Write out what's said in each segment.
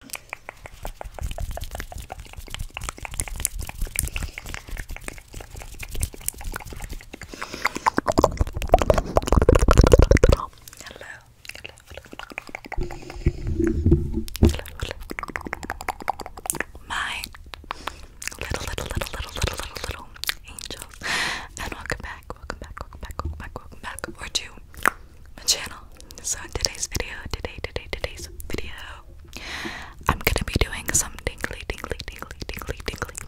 Hello. Hello. Hello. Hello. My little, little, little, little, little, little, angels. And welcome back, welcome back, welcome back, welcome back, welcome back, or to my channel. So in today's video, today, today, today's video, I'm gonna be doing some tingly, tingly, tingly, tingly, tingly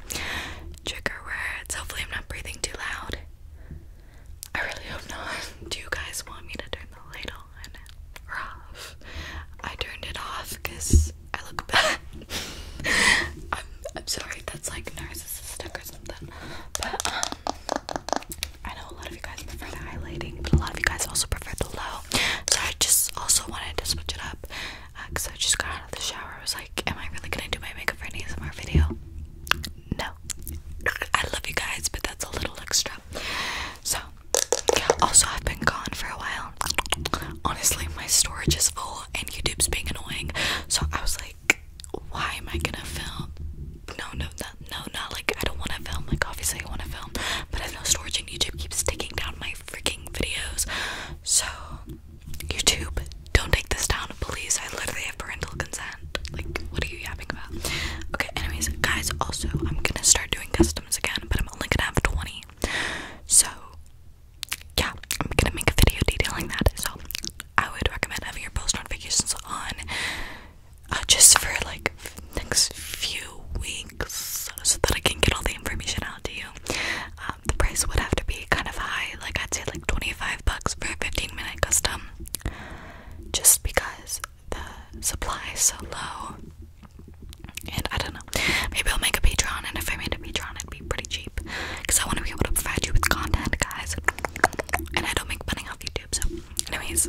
trigger words. Hopefully, I'm not breathing too loud. I really hope not. Do you guys want me to turn the light on or off? I turned it off because I look bad. I'm, I'm sorry, that's like narcissistic or something. But um, I know a lot of you guys prefer the highlighting, but a lot of you guys also prefer the low. So I just also wanted to switch it up because uh, I just got out of the shower. I was like, am I really gonna do my makeup for an ASMR video? No. I love you guys, but that's a little extra. So, yeah, also I've been gone for a while. Honestly, my storage is full and YouTube's being annoying. So I was like, why am I gonna film no, no, no, no, not like I don't want to film. Like obviously I want to film, but I have no storage, and YouTube keeps taking down my freaking videos. So YouTube, don't take this down, please. I literally have parental consent. Like, what are you yapping about? Okay. Anyways, guys. Also, I'm gonna start doing customs again, but I'm only gonna have 20. So yeah, I'm gonna make a video detailing that. So I would recommend having your post notifications on uh, just for like next few weeks so that I can get all the information out to you. Um, the price would have to be kind of high, like I'd say like 25 bucks for a 15 minute custom, just because the supply is so low. And I don't know, maybe I'll make a Patreon, and if I made a Patreon, it'd be pretty cheap because I want to be able to provide you with content, guys. And I don't make money off YouTube, so, anyways,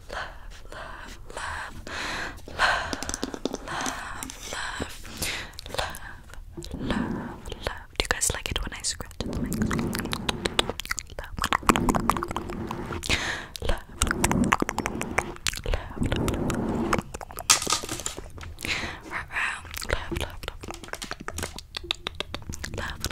love, love, love, love, love, love, love, love, love. Do you guys like it when I scratch at the mic? Love, love, love, love, love. Love, love, love, love,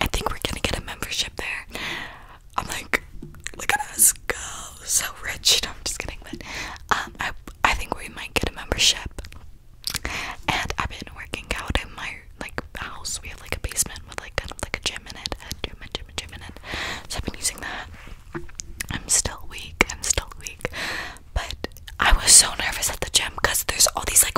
I think we're gonna get a membership there. I'm like, look at us go, so rich. I'm just kidding, but um, I I think we might get a membership. And I've been working out in my like house. We have like a basement with like kind of like a gym in it, a gym, a gym, a gym in it. So I've been using that. I'm still weak. I'm still weak. But I was so nervous at the gym because there's all these like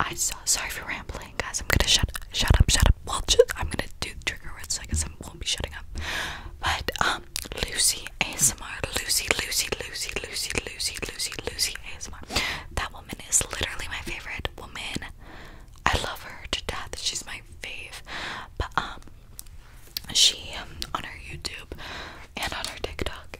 I saw. Sorry for rambling, guys. I'm gonna shut shut up, shut up. Well, just, I'm gonna do trigger words. So I guess I won't be shutting up. But um, Lucy ASMR, Lucy, Lucy, Lucy, Lucy, Lucy, Lucy, Lucy ASMR. That woman is literally my favorite woman. I love her to death. She's my fave. But um, she um, on her YouTube and on her TikTok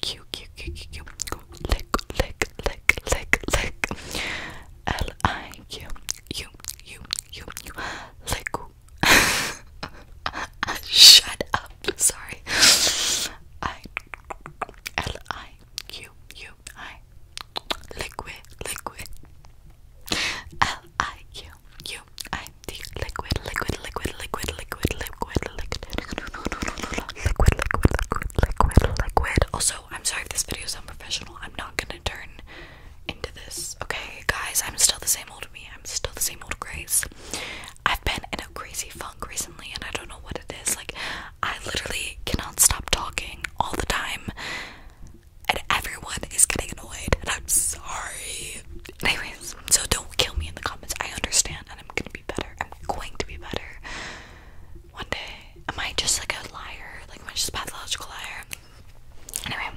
Cute, cute, cute, cute, cute. Lick, lick, lick, lick, lick. L I Q U U U U. Lick. Shut up. Sorry. I L I Q U I. Liquid, liquid. L I Q U I D. Liquid, liquid, liquid, liquid, liquid, liquid, liquid liquid, liquid, liquid, liquid, liquid. Also, I'm sorry if this video is unprofessional. I'm not gonna turn into this. Okay, guys, I'm still the same old me. I'm still the same old Grace. I've been in a crazy funk recently, and I don't know what it is. Like, I literally cannot stop talking all the time, and everyone is getting annoyed. And I'm sorry. Anyways, so don't kill me in the comments. I understand, and I'm gonna be better. I'm going to be better one day. Am I just like a liar? Like, am I just a pathological liar? Anyway,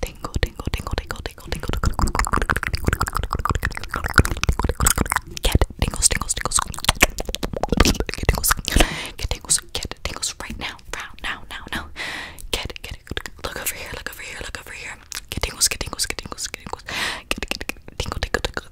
tingle, tingle, tingle, tingle, tingle, tingle, get tingles, tingles, tingles, get tingles, get tingles, get tingles right now, now, now, now, get, get, look over here, look over here, look over here, get tingles, get tingles, get tingles, get tingles, get, tingle, tingle, tingle,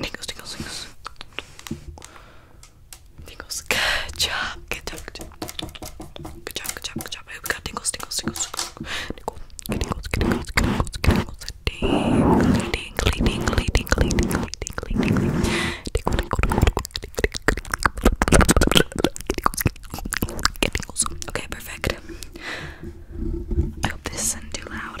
Tingles, tingles, tingles. Tingles. Good job. Good job. Good job. Good job. Good job. Good job. I hope we got tingles, tingles, tingles, tingles. Tingles, tingles, tingles, tingles, tingles. Tingly, tingly, tingly, tingly, tingly, tingly. Tingle, tingle, tingle, tingle. Get tingles. Okay, perfect. I hope this isn't too loud.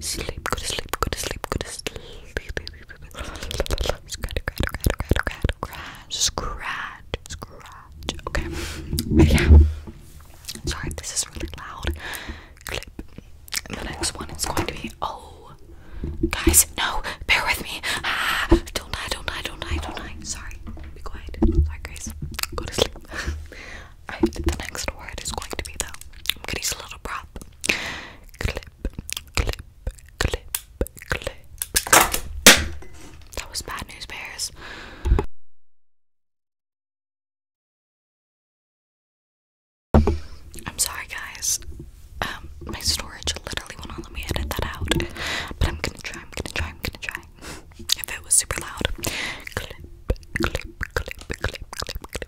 sleep, sleep, go to sleep, go to sleep, go to sleep. Scratch, scratch, scratch, scratch. Okay, yeah. Sorry, this is really loud. Clip. The next one is going to be oh, guys, no, bear with me. Ah, don't die, don't die, don't die, don't die. Sorry, be quiet. Sorry, guys, go to sleep. I the next word is going to be though. I'm gonna use a little prop. Clip, clip, clip, clip. That was bad news bears. I'm sorry guys. Um my storage literally won't let me edit that out. But I'm gonna try, I'm gonna try, I'm gonna try. if it was super loud. Clip, clip, clip, clip, clip, clip,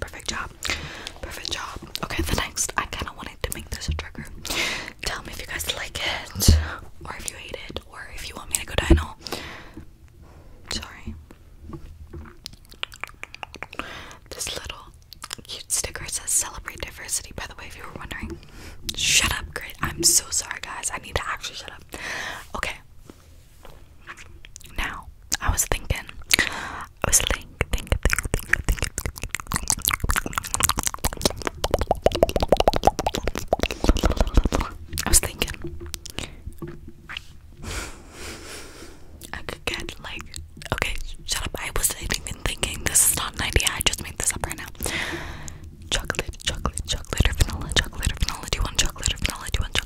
Perfect job. Perfect job. Okay, the next I kinda wanted to make this a trigger. Tell me if you guys like it or if you hate it or if you want me to go dino. Sorry. This little cute sticker says celebrate diversity, by the way, if you were wondering. Shut up, great. I'm so sorry guys. I need to actually shut up. Okay, now, I was thinking, I was thinking, thinking, thinking, thinking, I was thinking, I could get like, okay, shut up. I wasn't even thinking. This is not an idea. I just made this up right now. Chocolate, chocolate, chocolate, or vanilla, chocolate or vanilla. Do you want chocolate or vanilla? Do you want chocolate?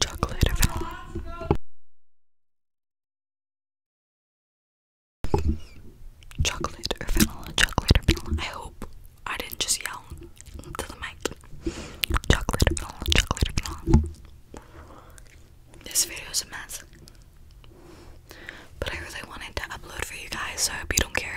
Chocolate vanilla. Chocolate or chocolate or I hope I didn't just yell to the mic. Chocolate or chocolate or This video is a mess. But I really wanted to upload for you guys, so I hope you don't care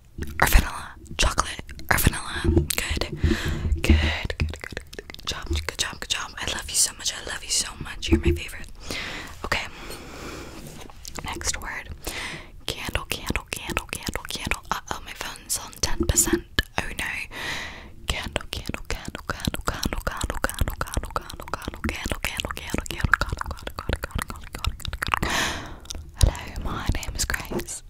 or vanilla, chocolate or vanilla. Good. Good. Good. Good. Good job. Good job. Good job. I love you so much. I love you so much. You're my favorite. Okay. Next word. Candle. Candle. Candle. Candle. Candle. Uh oh, my phone's on ten percent. Oh no. Candle. Candle. Candle. Candle. Candle. Candle. Candle. Candle. Candle. Candle. Candle. Candle. Candle. Candle. Candle. Candle. Candle Hello, my name is Grace.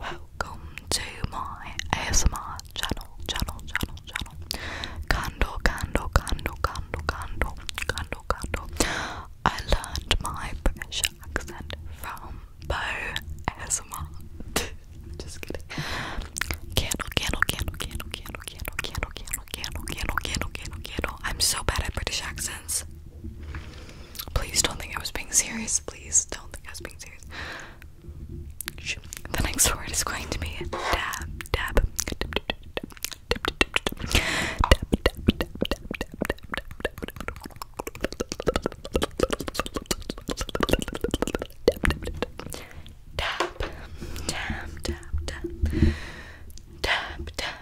Welcome to my ASMR channel, channel, channel, channel. Candle, candle, candle, candle, candle, candle, candle. I learned my British accent from Bo ASMR. Just kidding. Candle, candle, candle, candle, candle, candle, candle, candle, candle, candle, candle, candle, candle. I'm so bad at British accents. Please don't think I was being serious. Please don't think I was being serious. The next word is going to be dab, dab. Tap, tap, tap, tap, tap, tap,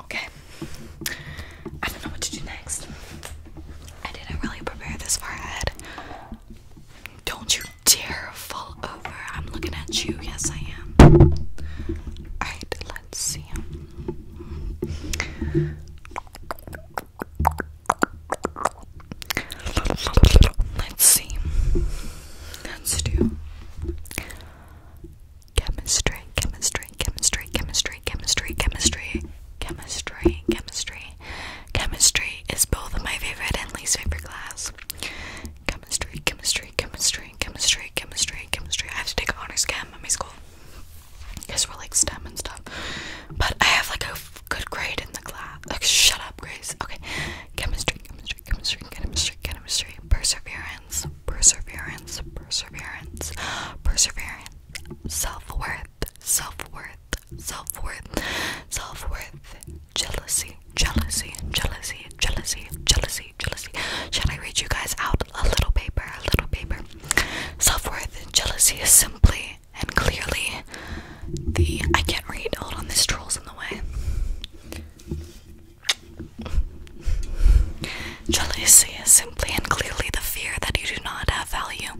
Okay. I don't know what to do next. I didn't really prepare this far ahead. Don't you dare fall over. I'm looking at you. Yes, I am. Alright, let's see. Let's see. Let's do chemistry, chemistry, chemistry, chemistry, chemistry, chemistry, chemistry, chemistry. Chemistry is both my favorite and least favorite class. Chemistry, chemistry, chemistry, chemistry, chemistry, chemistry. I have to take honors chem at my school because we're like STEM and stuff. But I have like a good grade in the class. shut up, Grace. Okay, chemistry, chemistry, chemistry, chemistry, chemistry, perseverance, perseverance, perseverance, perseverance, self worth, self worth, self worth, self worth, jealousy, jealousy, jealousy, jealousy, jealousy, jealousy. Should I read you guys out? A Little Paper, A Little Paper. Self worth and jealousy is simply and clearly the. I can't read. Hold on, this troll's in the way. Jealousy is simply and clearly the fear that you do not have value.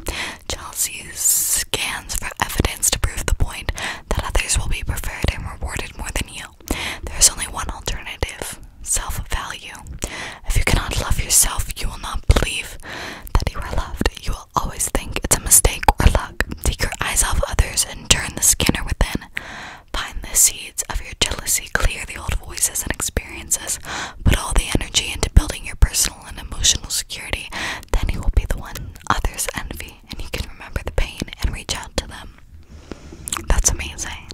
Jealousy scans for evidence to prove the point that others will be preferred and rewarded more than you. There is only one alternative self value. If you cannot love yourself, you will not believe that you are loved. You will always think it's a mistake or luck. Take your eyes off others and turn the scanner within. Find the seeds of your jealousy, clear the old voices and experiences, put all the energy into building your personal and emotional security. Then you will be the one others envy, and you can remember the pain and reach out to them. That's amazing.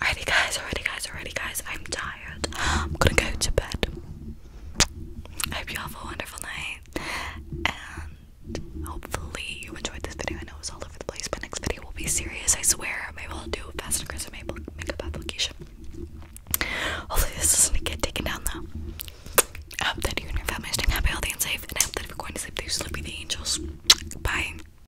Alrighty guys, alrighty guys, alrighty guys. I'm tired. I'm gonna go to bed. I hope you have a wonderful night. And hopefully you enjoyed this video. I know it was all over the place, but next video will be serious, I swear. Maybe I'll do a fast and aggressive makeup application. Hopefully this doesn't get taken down though. I hope that you and your family are staying happy, healthy, and safe, and I hope that if you're going to sleep, that you sleep with the angels. Bye.